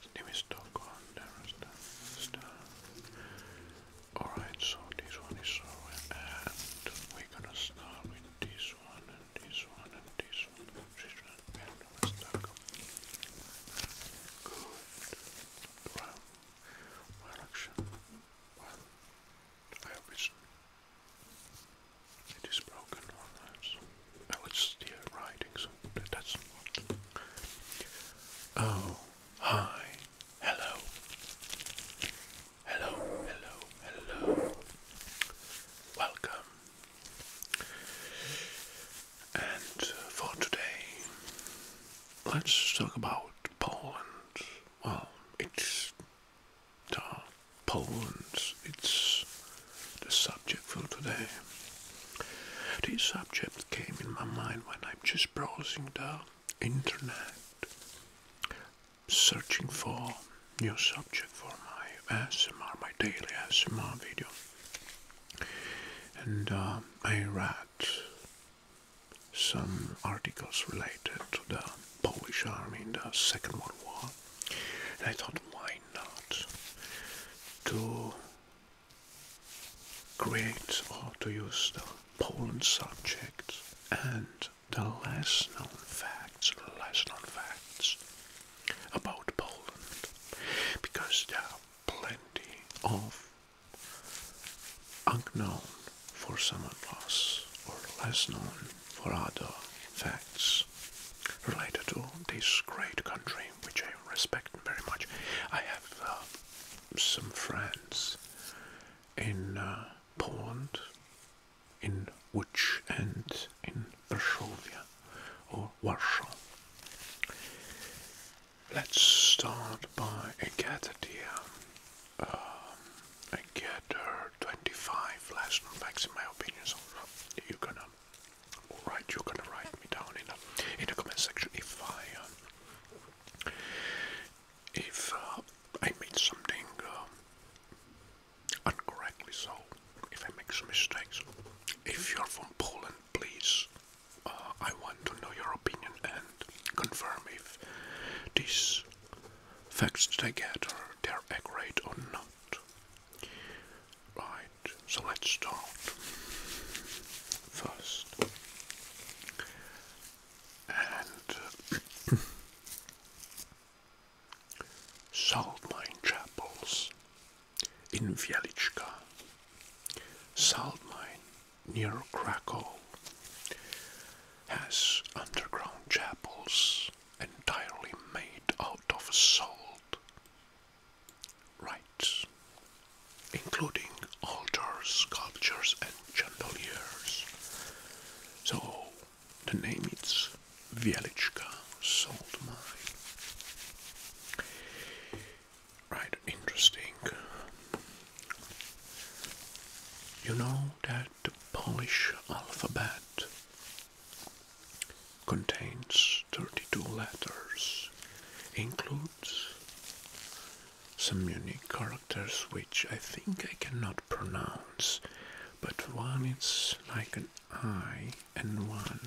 His name is Stockholm Darastan. Alright, so this one is over, and we're gonna start with this one, and this one, and this one. This one, one. action. Well, I hope it's. It is broken, all right. I was here riding, so that's Oh, hi, hello, hello, hello, hello. Welcome. And for today, let's talk about Poland. Well, it's uh, Poland. It's the subject for today. This subject came in my mind when I'm just browsing the internet, searching for new subject for my ASMR, my daily ASMR video. And uh, I read some articles related to the Polish army in the Second World War. And I thought, why not to create or to use the Poland subject and the less known facts, less known facts about Poland, because there are plenty of unknown for some of us or less known for other facts related to this great country which I respect very much. I have uh, some friends in uh, Poland, in Łódź and in Varsovia or Warsaw. Let's start by a gathered here. Um, I get 25 last max in my opinion, so you can. going um, alright, you can write me down in the, in the comment section if I um, if uh, I made something um, incorrectly. So if I make some mistakes, if you're from Poland, please, uh, I want to know your opinion and confirm if these facts that I get are they're accurate or not. Right, so let's start. First, uh, salt mine chapels in Wieliczka, salt mine near Krakow, has underground chapels entirely made out of salt rites, including altars, sculptures, and chandeliers. So the name is Wieliczka Salt Mine. Right, interesting. You know that the Polish alphabet contains 32 letters, includes some unique characters which I think I cannot pronounce, but one it's like an I and one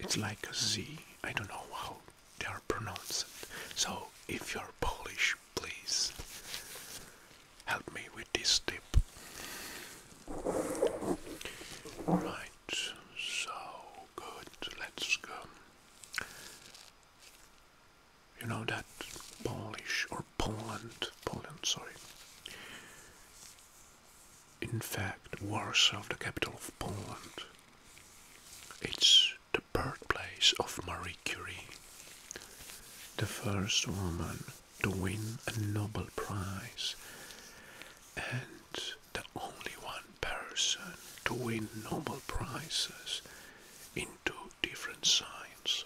it's like a Z. I don't know how they are pronounced. So if you're Polish, please help me with this tip. Right, so good. Let's go. You know that Polish or Poland, Poland, sorry. In fact, Warsaw, the capital of Poland, it's the birthplace of Marie Curie, the first woman to win a Nobel Prize. And the only one person to win Nobel Prizes in two different sciences.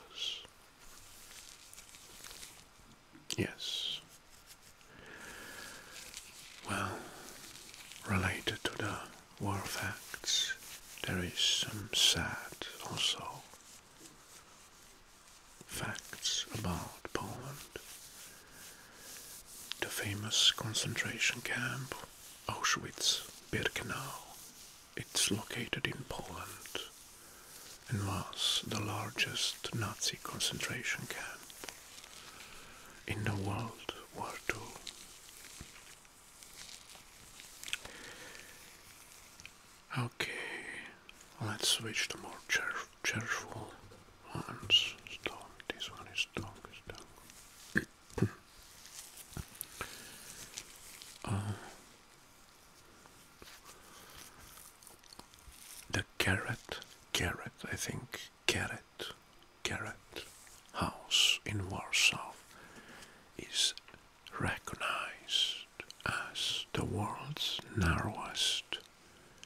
Yes. Well, related to the war facts, there is some sad also facts about Poland. The famous concentration camp Auschwitz-Birkenau. It's located in Poland and was the largest Nazi concentration camp in the World War II. Okay, let's switch to more cheerful cheerful ones. This one is stone. Uh, the carrot, carrot. I think carrot, carrot house in Warsaw is recognized as the world's narrowest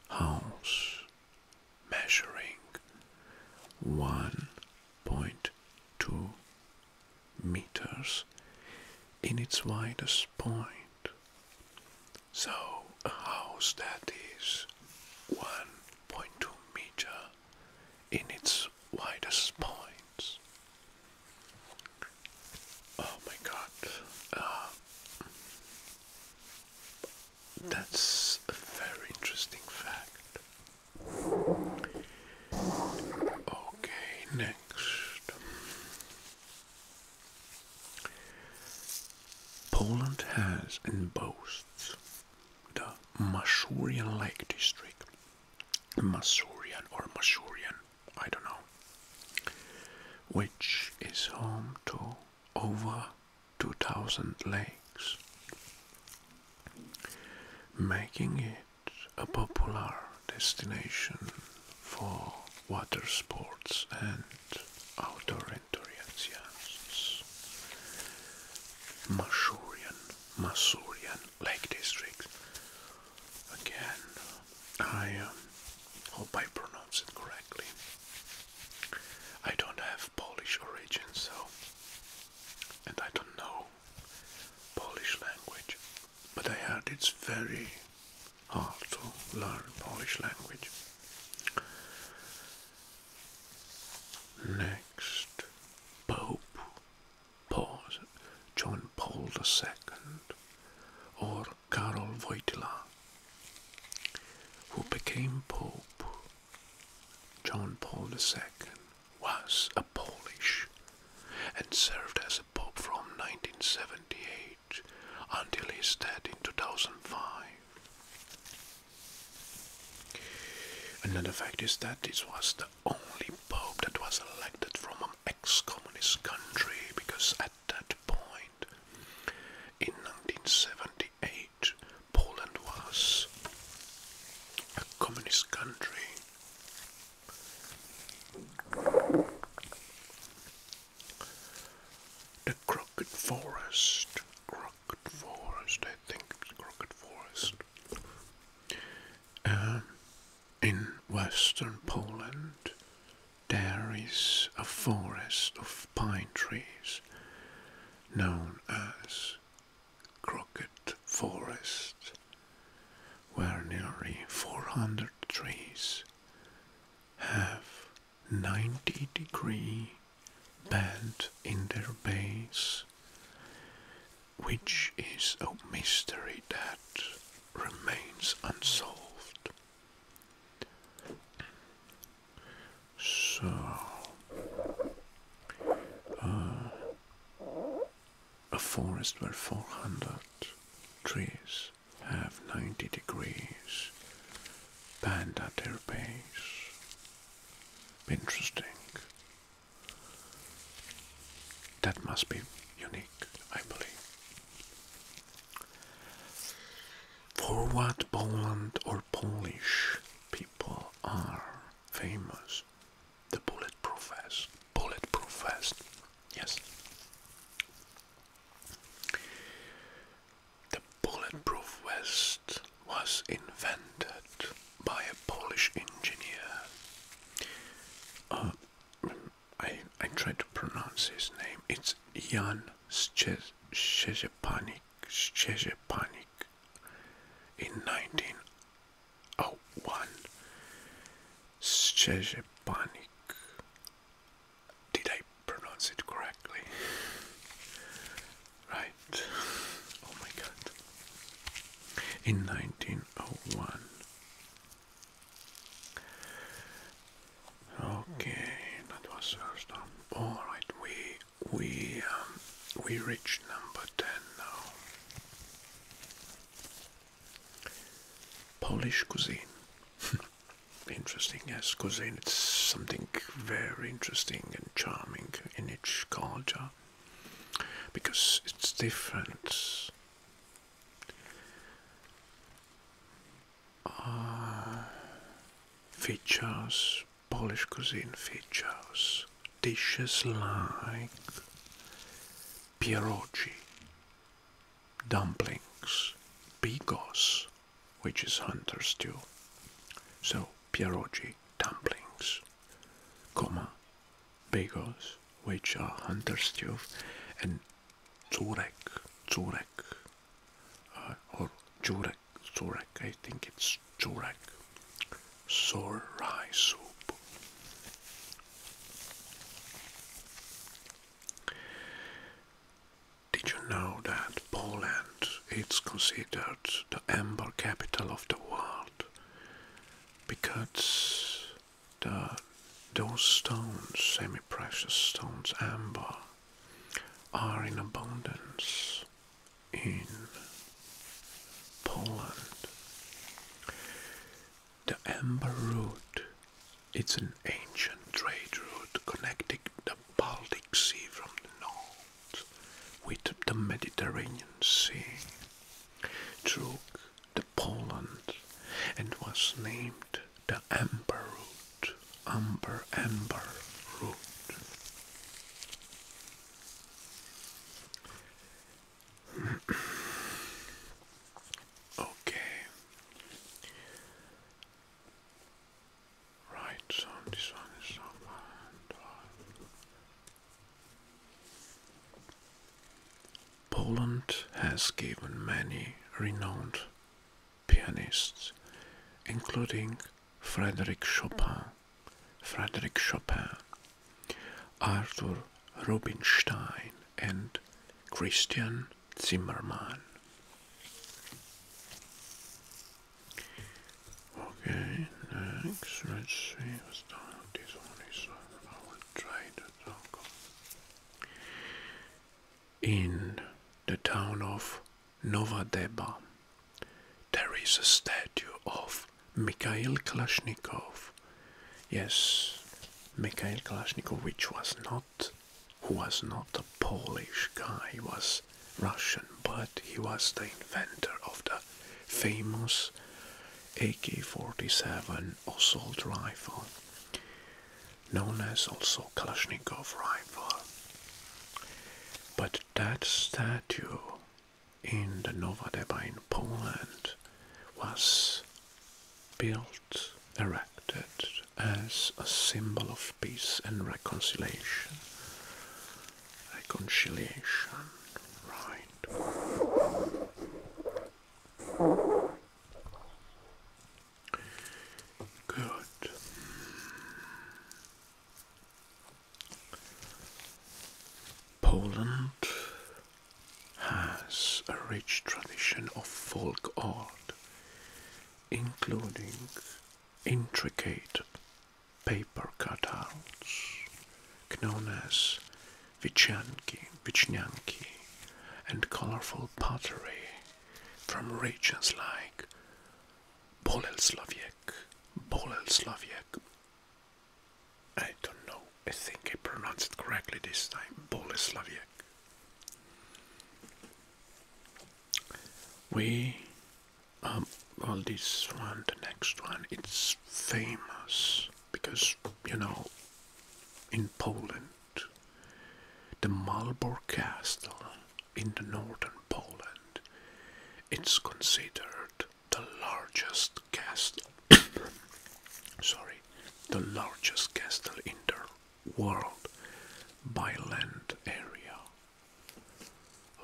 house measuring 1.2 meters in its widest point. So, a house that is 1.2 meter in its widest points Oh my god. Uh, that's a very interesting fact. Okay, next. Poland has and boasts the Masurian Lake District. Masurian or Masurian I don't know, which is home to over 2,000 lakes, making it a popular destination for water sports and outdoor enthusiasts. Masurian, Masurian Lake District. Again, I um, hope I pronounce it correctly. I don't have Polish origins, so and I don't know Polish language, but I heard it's very hard to learn Polish language. Next, Pope Paul, John Paul II, or Karol Wojtyla, who became Pope John Paul II, was a Polish and served as a Pope from 1978 until his death in 2005. Another fact is that this was the only Pope that was elected from an ex-communist country because that point, in 1978, Poland was a communist country. The Crooked Forest, Crooked Forest, I think Crooked Forest. Um, in western Poland there is a forest of pine trees known as Crockett Forest, where nearly 400 trees have 90 degree bend in their base, which is a mystery that remains unsolved. So, uh, a forest where 400 trees have 90 degrees bend at their base. Interesting. That must be unique. I believe. For what Poland or Polish people are famous, the bulletproof vest. Bulletproof vest, yes. The bulletproof vest was invented by a Polish engineer. Uh, I, I try to pronounce his name. It's Jan Szczepanik in 1901. Szczepanik. Did I pronounce it correctly? Right. Oh my god. In 1901. Okay, that was first All right, we we um, we reach number ten now. Polish cuisine. interesting, yes, cuisine. It's something very interesting and charming in each culture because it's different uh, features, Polish cuisine features, dishes like pierogi, dumplings, bigos, which is hunter's stew. So pierogi, dumplings, comma, bigos, which are hunter's stew, and Zurek, Zurek, uh, or Jorek, Zurek. I think it's Jorek, sore soup. Did you know that Poland is considered the amber capital of the world? Because the, those stones, semi-precious stones, amber, are in abundance in Poland. The amber route, it's an ancient trade route connecting the Baltic Sea from the north with the Mediterranean Sea. Truk the Poland and was named the Amber Route. Amber, Amber okay. Right, so this one is on one, Poland has given many renowned pianists, including Frédéric Chopin, Frédéric Chopin, Arthur Rubinstein, and Christian Zimmermann. Okay, next, let's see in the town of Novadeba, there is a statue of Mikhail Kalashnikov. Yes, Mikhail Kalashnikov, which was not, who was not a Polish guy, was Russian, but he was the inventor of the famous AK-47 assault rifle, known as also Kalashnikov rifle. But that statue in the Novodeba in Poland was built, erected as a symbol of peace and reconciliation. Reconciliation, right. Good. Poland has a rich tradition of folk art, including intricate paper cutouts known as vichnyanki, vichnyanki and colorful pottery from regions like Boleslavik, Boleslavik. I don't know, I think I pronounced it correctly this time, Boleslavik. We, um, well, this one, the next one, it's famous because you know in Poland, the Marlborough Castle in the northern Poland. It's considered the largest castle. sorry, the largest castle in the world by land area.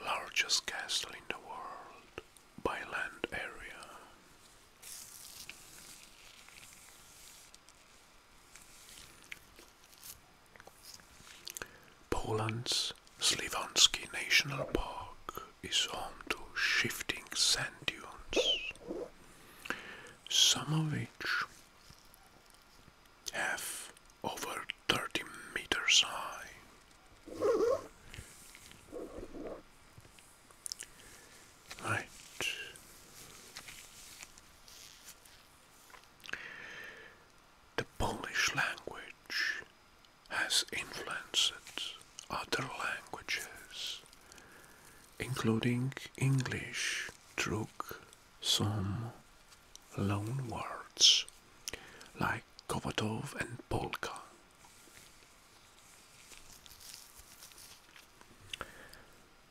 Largest castle in the world by land area. Poland's Slivanski National Park is home to shifting sand dunes, some of which have over 30 meters high. Right. The Polish language has influenced other languages, including English, through some loan words like Kovadov and Polka.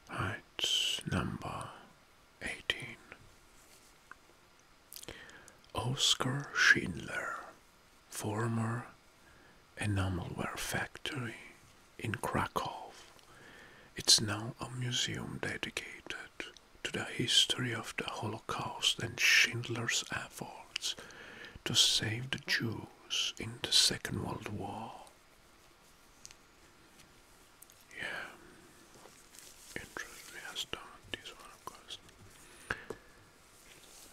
Right, number 18. Oscar Schindler, former enamelware factory in Krakow. It's now a museum dedicated to the history of the Holocaust and Schindler's efforts to save the Jews heroes in the Second World War. Yeah, interesting. Yes, this one, of course.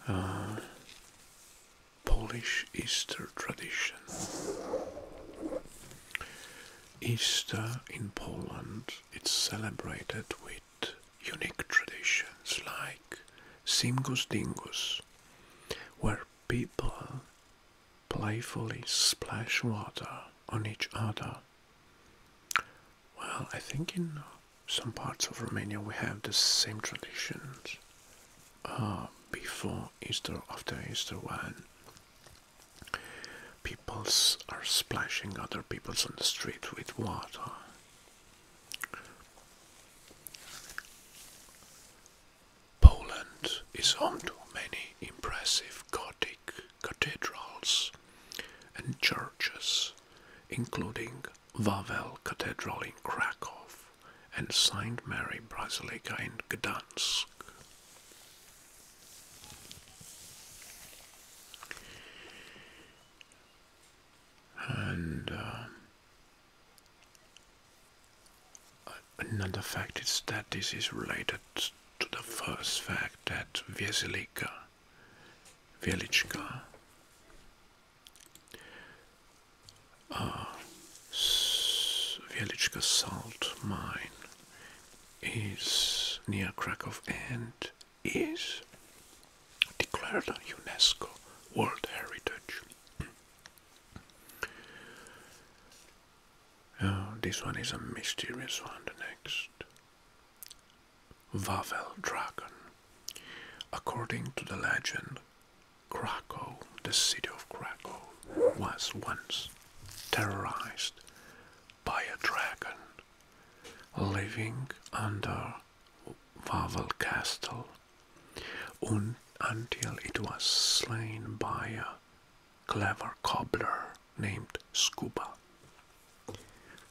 Uh, Polish Easter tradition. Easter in Poland is celebrated with unique traditions like Singus Dingus, where people playfully splash water on each other. Well, I think in some parts of Romania we have the same traditions ah, before Easter, after Easter, when people are splashing other peoples on the street with water. Poland is home to many impressive Gothic cathedrals and churches, including Wawel Cathedral in Krakow and St. Mary Basilica in Gdansk. And um, Another fact is that this is related to the first fact that Vieselika, Velichka, uh, Velichka salt mine is near Krakow and is declared UNESCO World Heritage. this one is a mysterious one, the next. Wawel Dragon. According to the legend, Krakow, the city of Krakow, was once terrorized by a dragon living under Wawel Castle until it was slain by a clever cobbler named Scuba.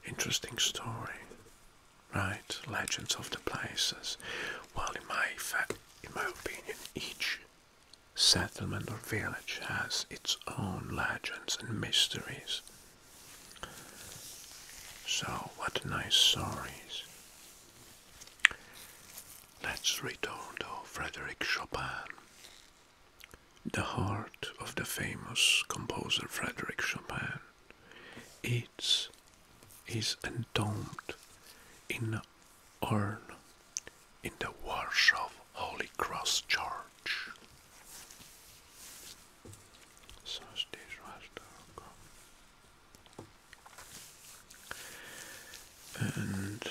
Interesting story, right? Legends of the places. While in my fact, in my opinion, each settlement or village has its own legends and mysteries. So, what nice stories. Let's retold to Frédéric Chopin. The heart of the famous composer Frédéric Chopin it is entombed in an urn in the Warsaw Holy Cross Church. So styr och hashtag. And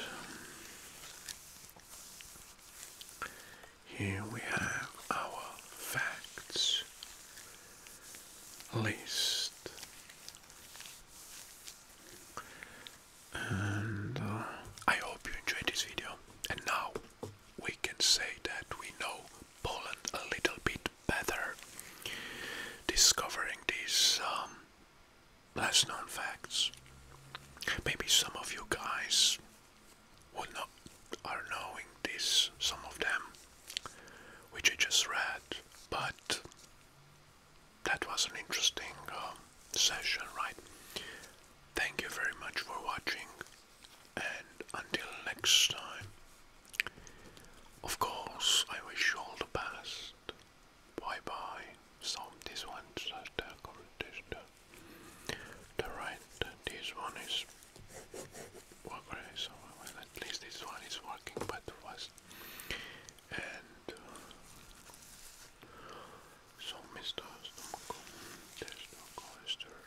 here we have our facts list. And uh, I hope you enjoyed this video. And now we can say that we know Poland a little bit better, discovering these um, less known facts. Maybe some of you guys would not are knowing this, some of them, which you just read, but that was an interesting um, session, right? Thank you very much for watching. And until next time, of course, I wish you all the best. Bye bye. So, this one's a The right, this one is. Well, at least this one is working, but was. And. Uh, so, Mr. Stomach, there's no coaster.